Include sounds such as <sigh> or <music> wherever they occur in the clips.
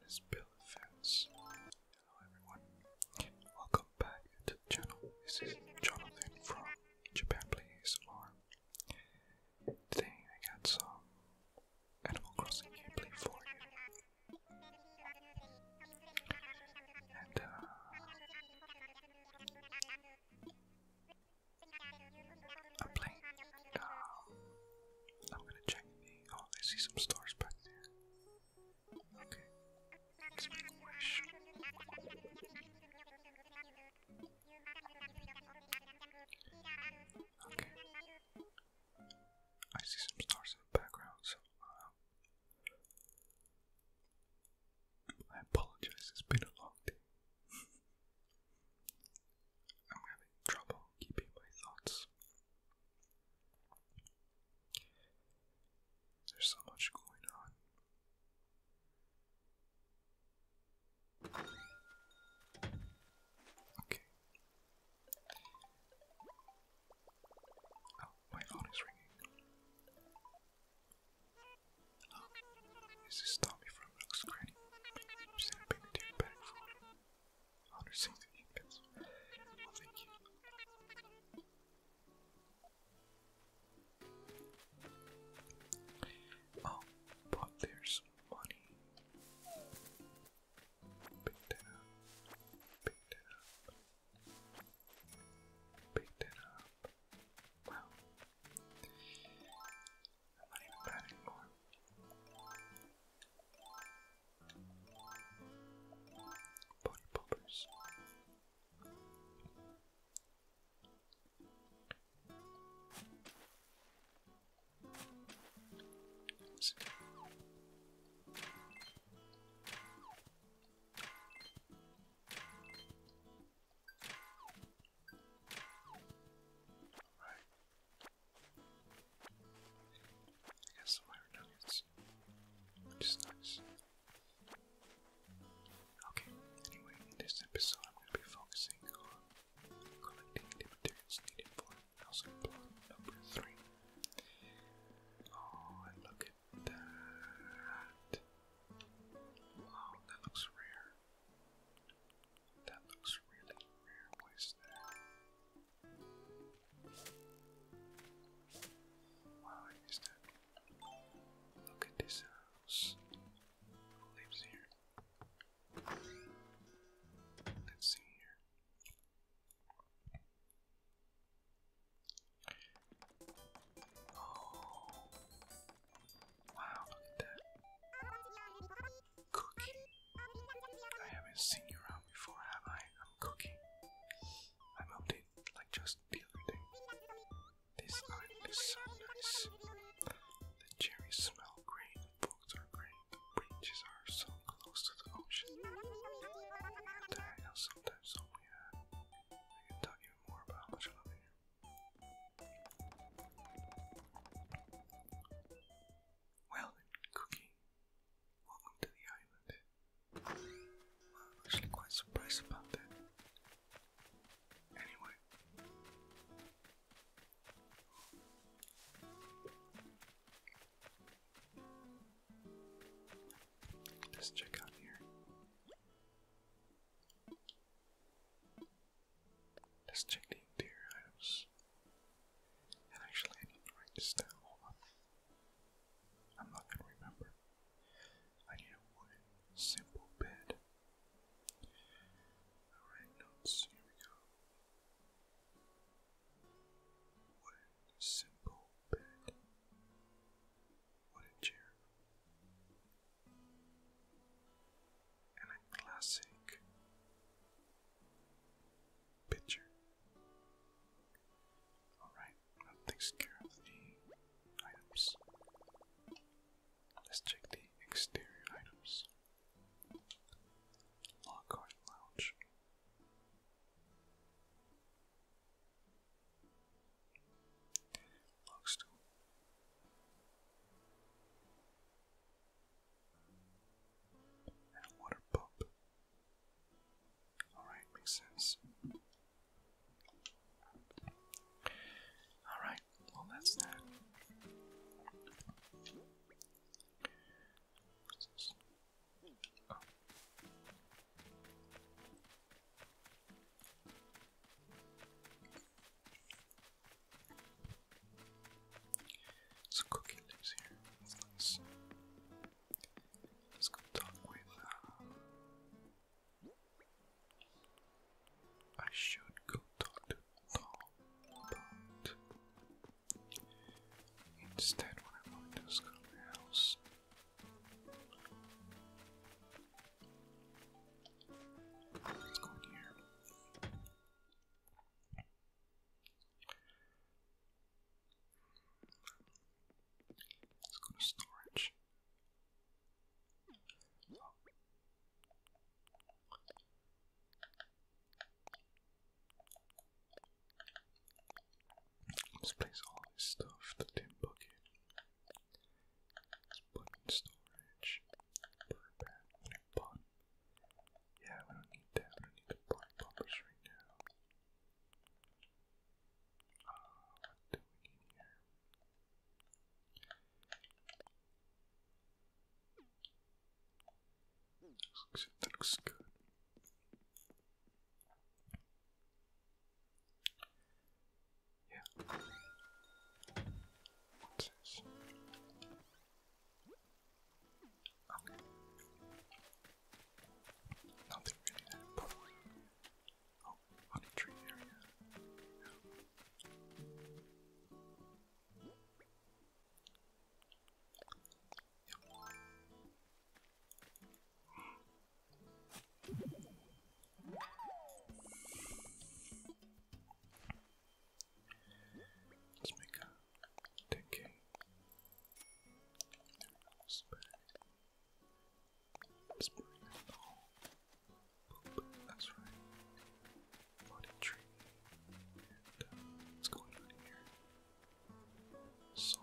Let's build a fence. Hello everyone. Welcome back to the channel. This is Jonathan from Japan Play ASMR. Today I got some Animal Crossing gameplay for you. And uh, I'm playing. I'm gonna check Oh, I see some stars back there. Okay. Okay. I see some stars in the background, so uh, I apologize, it's been a long day. <laughs> I'm having trouble keeping my thoughts. There's so much going on. Okay. Oh, my phone is ringing this is Tommy from Looks Granny. She's in a big team back for 160 units. Well, thank Oh, but there's money. Pick that up. Pick that up. Pick that up. Wow. I'm not even bad anymore. Body Right. I got some iron which is nice. Okay, anyway, in this episode I'm going to be focusing on collecting the materials needed for housing number 3. Oh, and look at that! Wow, that looks rare. That looks really rare. What is that? Why is that? Look at this house. Who lives here? Let's see here. Oh, Wow, look at that. Cookie. I haven't seen you around before, have I? I'm Cookie. I moved in like just the other day. This island is so nice. The cherries smell great, the books are great, the beaches are so close to the ocean. That sometimes only I can tell you more about much love here. Well Cookie, welcome to the island. I'm actually quite surprised about that. Anyway. Let's check out here. Let's check the interior items. And actually, write this down. I'm not gonna remember. I need a wooden, simple bed. Alright, notes. Here we go. Wooden, simple bed. Wooden chair and a classic picture. Alright, that takes care of the items. Let's check the exterior items. Lockhart Lounge. Log stool. And a water pump. Alright, makes sense. Alright, well, that's that. There's a cookie lives here. That's nice. Let's go talk with. Uh, I should go talk to Paul, but instead, what I want to do is go to my house. Let's go in here. Let's go to storage. Let's place all this stuff, the tin put in storage. Burn back Yeah, we don't need that. We don't need the blood pumpers right now. Uh, what do we need here? looks good. Yeah. What's this? Okay. Nothing really that Oh, honey tree area. Let's make a 10 Let's bring it all. that's right. what's going on here? So.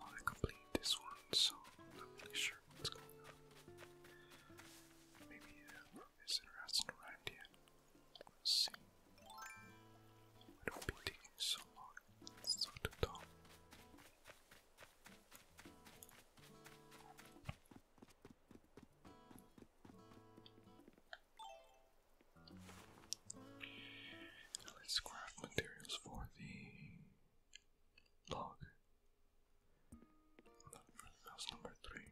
I'll complete this one, so I'm not really sure sure what's going Maybe uh, Miss Sinner has see. Why don't be so long? So to talk. Let's craft materials for the log. House number three.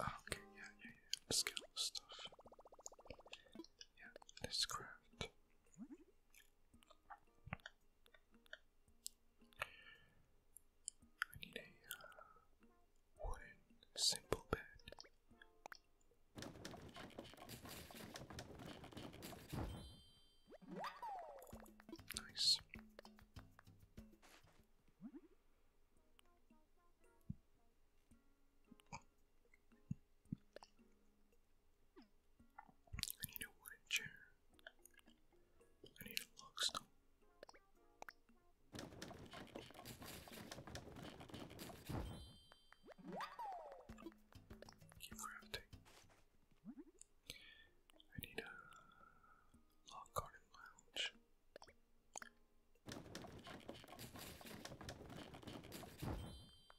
Ah, okay, yeah, yeah, yeah. Skill stuff. Yeah, let's craft. I need a wooden, simple bed. Nice. I need a wooden chair. I need a log stone. crafting. I need a log garden lounge. I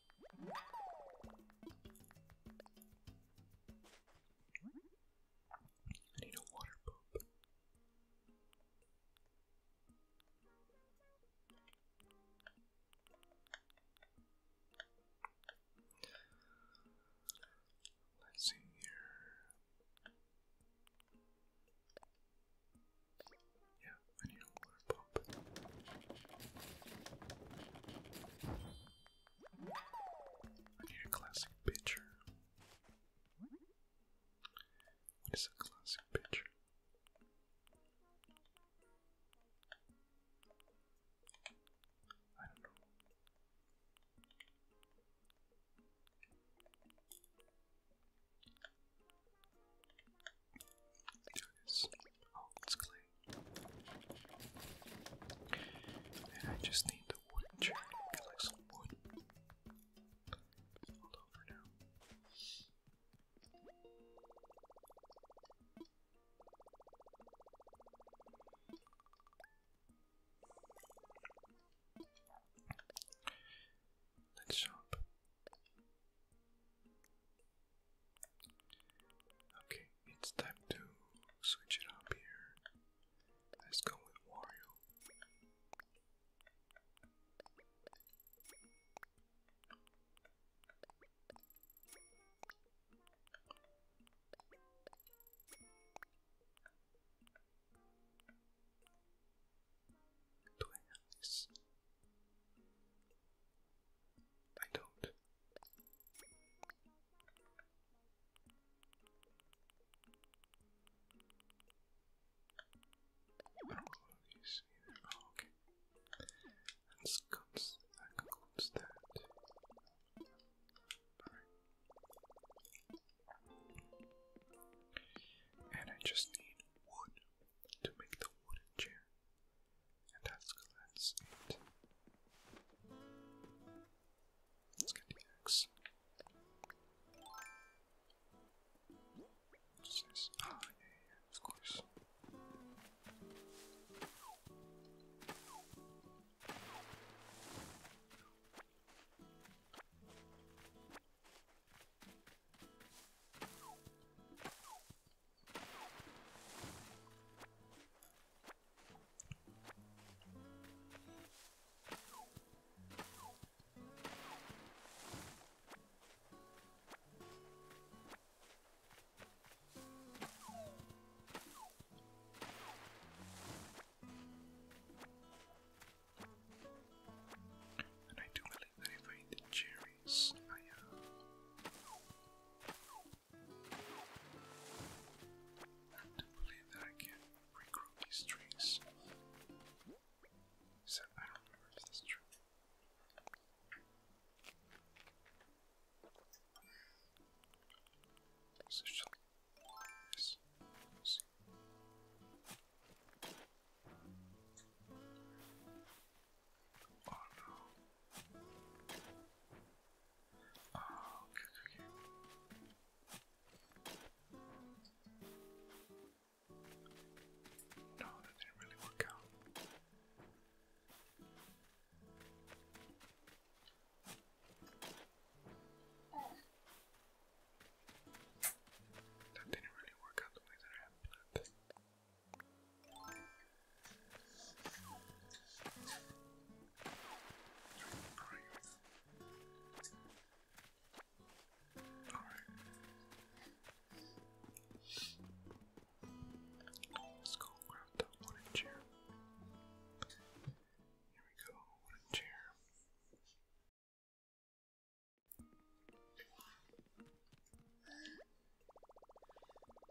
need a water pump. Let's see here. Yeah, I need a water pump. I need a classic picture. What is a classic pitcher? I don't know do this. Oh, it's clay. I just need the wood chair to like some wood. Hold on now. Let's shop. Okay, it's time to switch it up here. Let's go with Wario. Do I don't. I don't know these either. Oh, okay. That's guns. That concludes And I just need wood to make the wooden chair. And that's, that's it. Let's get the axe. What's this? Ah, of course. And I do believe that if I eat the cherry, space. I uh, do believe that I can regroup these trees. Except I don't remember if that's true. So she Oh no. Oh, okay, okay. No, that didn't really work out. That didn't really work out the way that I planned. Alright. Let's go grab that wooden chair. Here we go, wooden chair.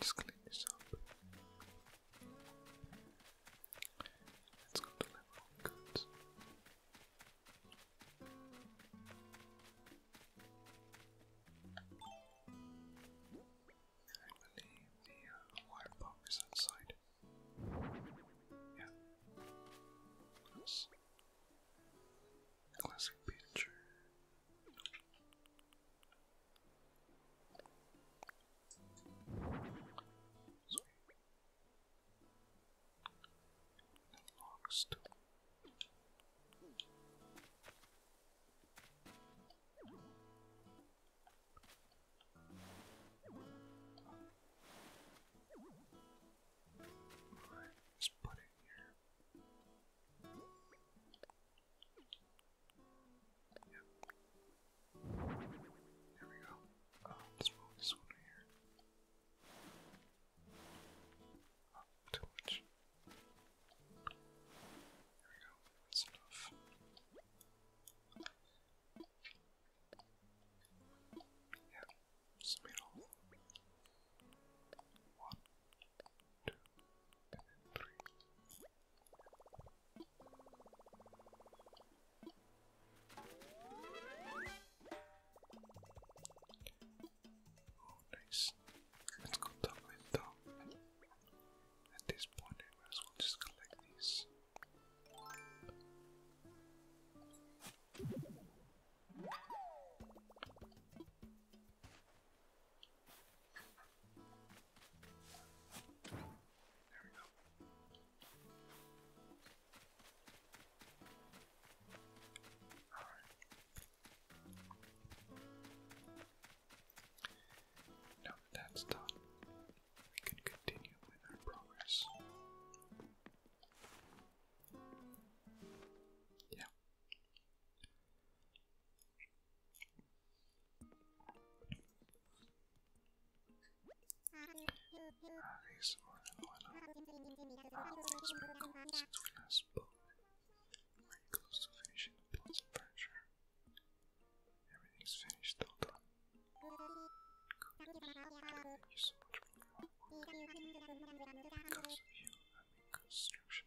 Just clean this up. Let's go to goods. I believe the uh, wire bomb is outside. Yeah. classic picture. Lost. Right, let's put it here. Yep. There we go. Uh, let's roll this one here. Oh, too much. There we go. That's enough. Yeah, just made all one two, and three. Oh, nice. Let's go that way down. At this point, I might as well just collect these. Now that that's done, we can continue with our progress. Yeah, these more than one since we last spoke. we close to finishing the Blossom furniture. Everything's finished, all done. Thank you so much for Because of you, I'm in construction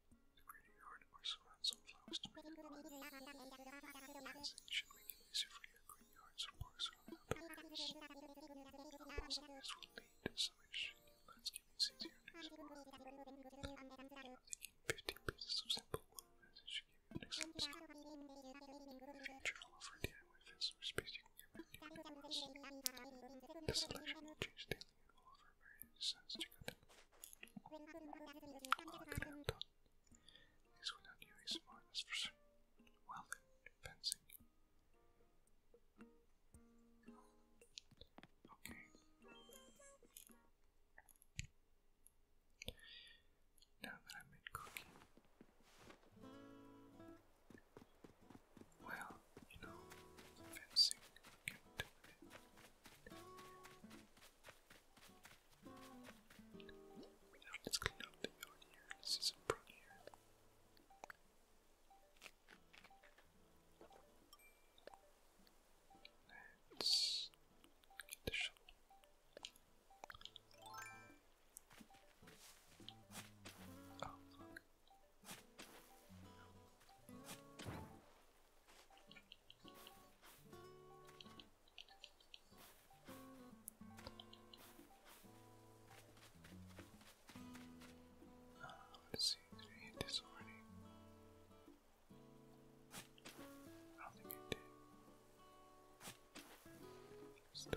The greater your heart or so it easier for your green yards or parks this will lead to some interesting new landscaping scenes here next pieces of simple wood methods should you DIY fence for space you This selection will daily and will various designs. Check Crampton without you a smartness for certain. Well fencing. Okay. Now that I'm in cooking. Well, you know, fencing let's clean up the yard get the shovel. Oh, uh, let's see, did I hit this already? I don't think I did. Let's do it.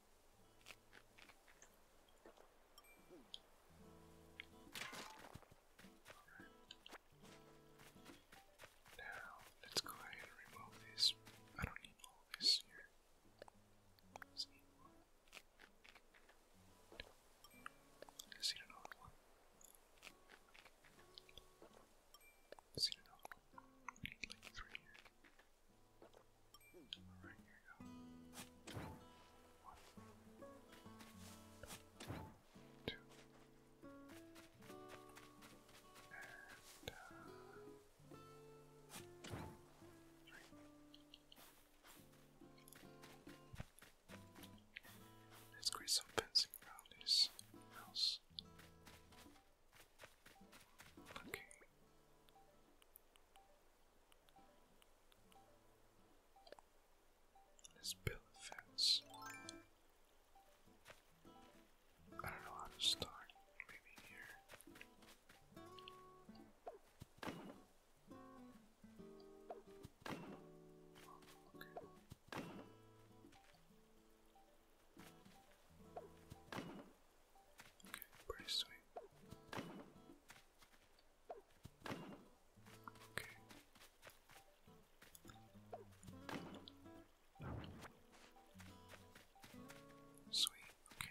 Now, let's go ahead and remove this. I don't need all this here. Let's need one. Let's need another one. Let's need another one. We need like three here. All right, you let Let's create some fencing around this house. Okay. Let's build a fence. I don't know how to start. Maybe here. Okay, pretty sweet. Okay. Sweet, okay.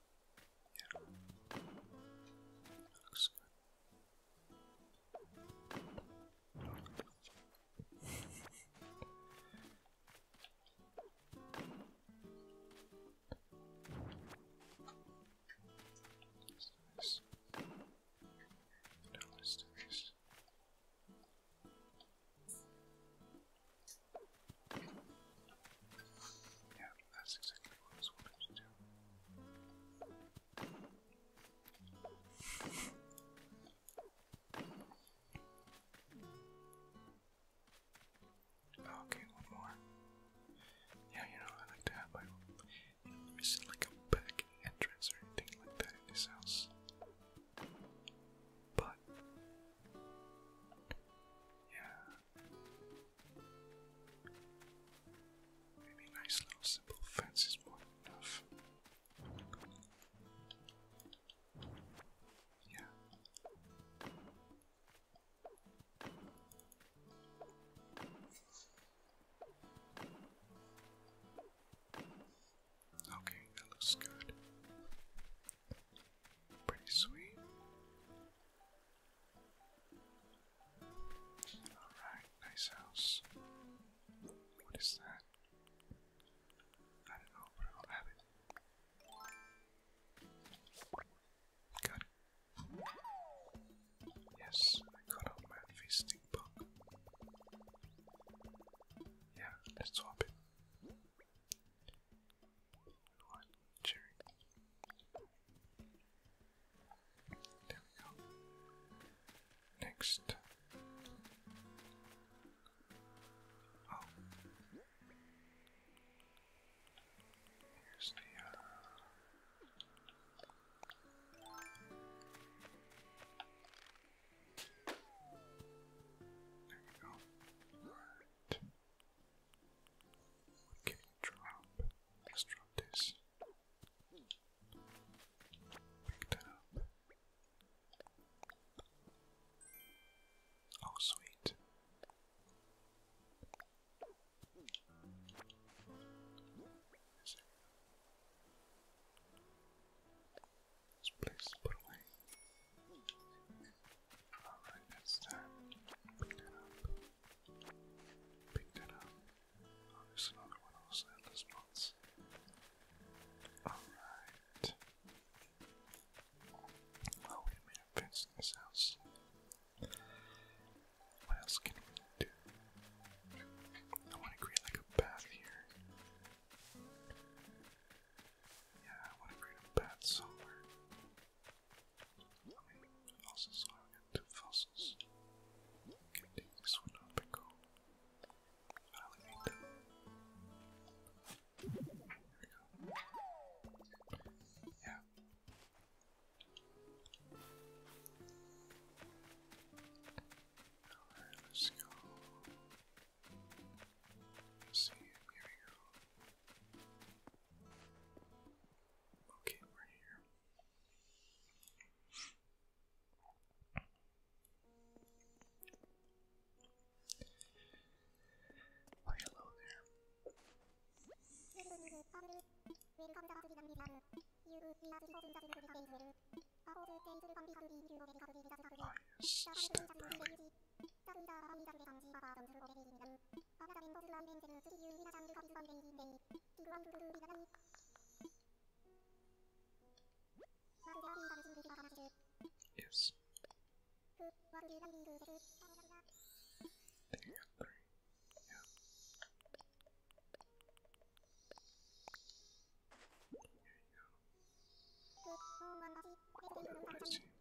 Yeah. Looks good. Let's do this. Now let's do this. Yeah, that's exactly what I was wanting to Okay, one more. Yeah, you know, I like to have like, a back entrance or anything like that in this house? But, yeah, Maybe nice little simple fence is more than enough. Yeah. Okay, that looks good. Pretty sweet. Alright, nice house. What is that? I don't know, but I'll have it. Got it. Yes, I got a man book. Yeah, let's swap it. What? Cherry. There we go. Next. Oh. Here's There we uh, go. Right. Let's drop this. Pick that up. Oh, sweet. Let's place it away. Alright, it's time to pick up. Pick that up. there's another one also in this box. Alright. Well, we made a fence in this house. What else can we do? I want to create like a path here. Yeah, I want to create a path somewhere. Fossils are into fossils. Getting this one out the go. Yeah. Alright, let's go. Let's see, here we go. Okay, we're here. Why, hello there. Oh, yes, step brother. 짝이다아이작의감지바바전술오래기기는바나다민버슬람벤제는쓰리유이나장르가비수반벤기베이킹그왕두두두비나단마르제아빈다는신부기가가나시르 Yes. 그와르지란빈그제스아무작이나 There are three. Yeah. Here you go. 그오만다시베스트인구는당장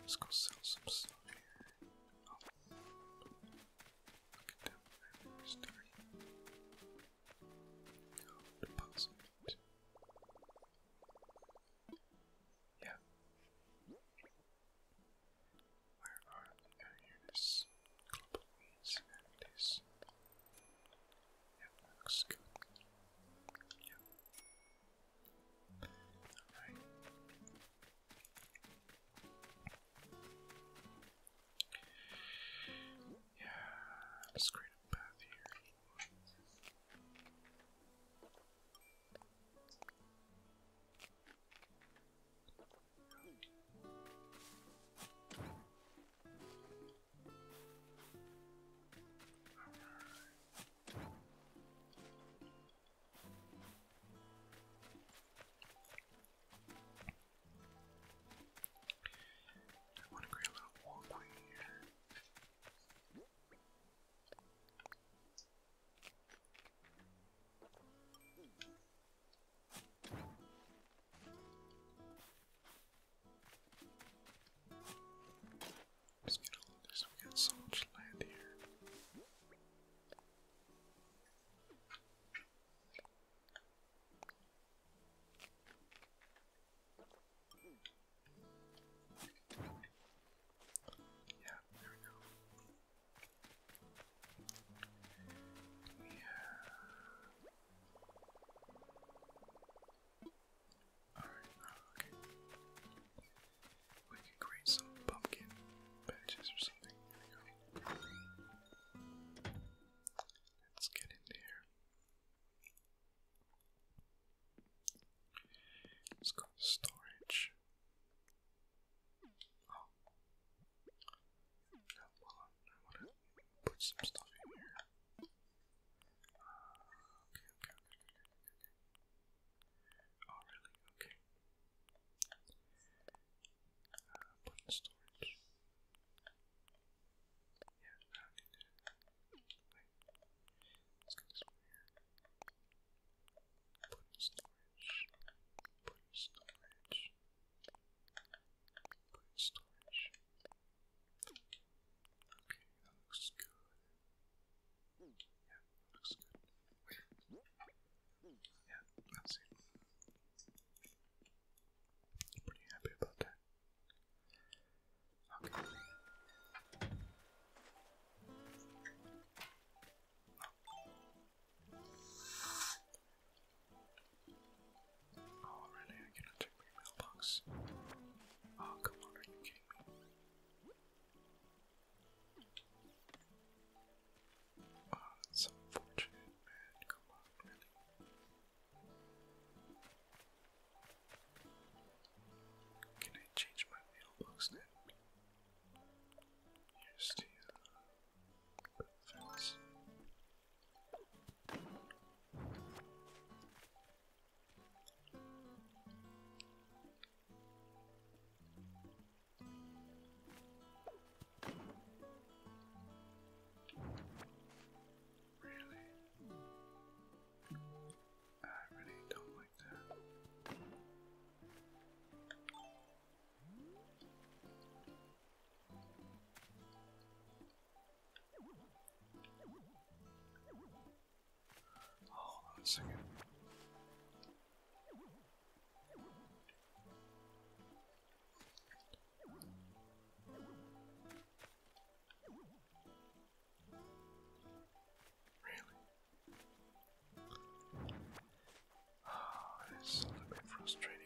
Let's go sell some stuff here. Oh. Look at that. There's dirty. No, deposit. Yeah. Where are the uh, units? Global needs Yeah, looks good. Yeah. Alright. Yeah, let's create a path here. I want to create a little walkway here. Let's get all of this. We got so much land here. Yeah, there Alright, uh, okay. We can create some pumpkin patches or something. Let's get in there. Let's go to storage. Oh. No, hold I want to put some stuff in here. Uh, okay, okay, okay, okay, Oh, really? Okay. Uh, put storage. Yeah, I Put storage. Put storage. Put storage. Okay, that looks good. Yeah, looks good. Yeah, that's it. pretty happy about that. Okay. Oh, really? I cannot check my mailbox. Oh, come on, are Oh, that's unfortunate, man. Come on, Can I change my mailbox now? Here's the uh, Really? I really don't like that. Hold on a second. Really? Oh, it's a bit frustrating.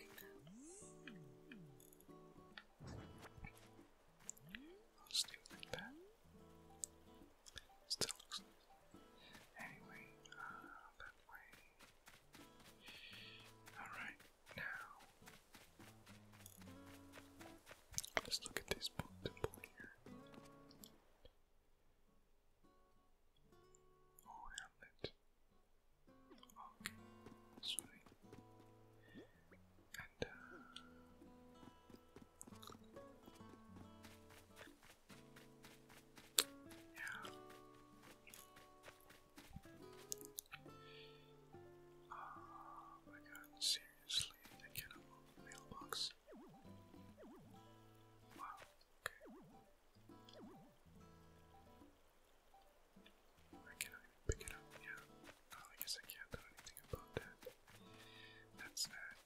Just leave it like that. Still looks Anyway, uh, that way. Alright, now. Let's look at this book here. Oh, helmet. Okay, sweet. And, yeah. Oh my god, seriously, I cannot move mailbox. Wow, okay. I cannot pick it up, yeah. Oh, I guess I can't do anything about that. That's that.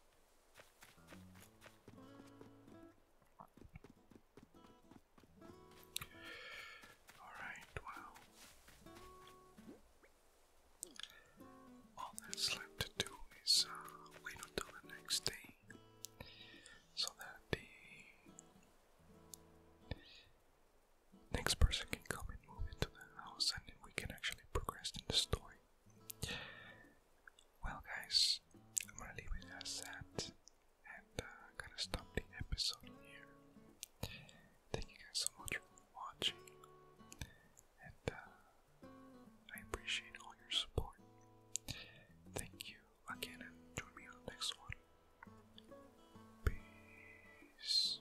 Alright, wow. All that's left to do is uh, wait until the next day so that the next person can come move into the house, and we can actually progress in the story. Well, guys, I'm gonna leave it as that, and uh, gonna stop the episode here. Thank you guys so much for watching, and uh, I appreciate all your support. Thank you again, and join me on the next one. Peace.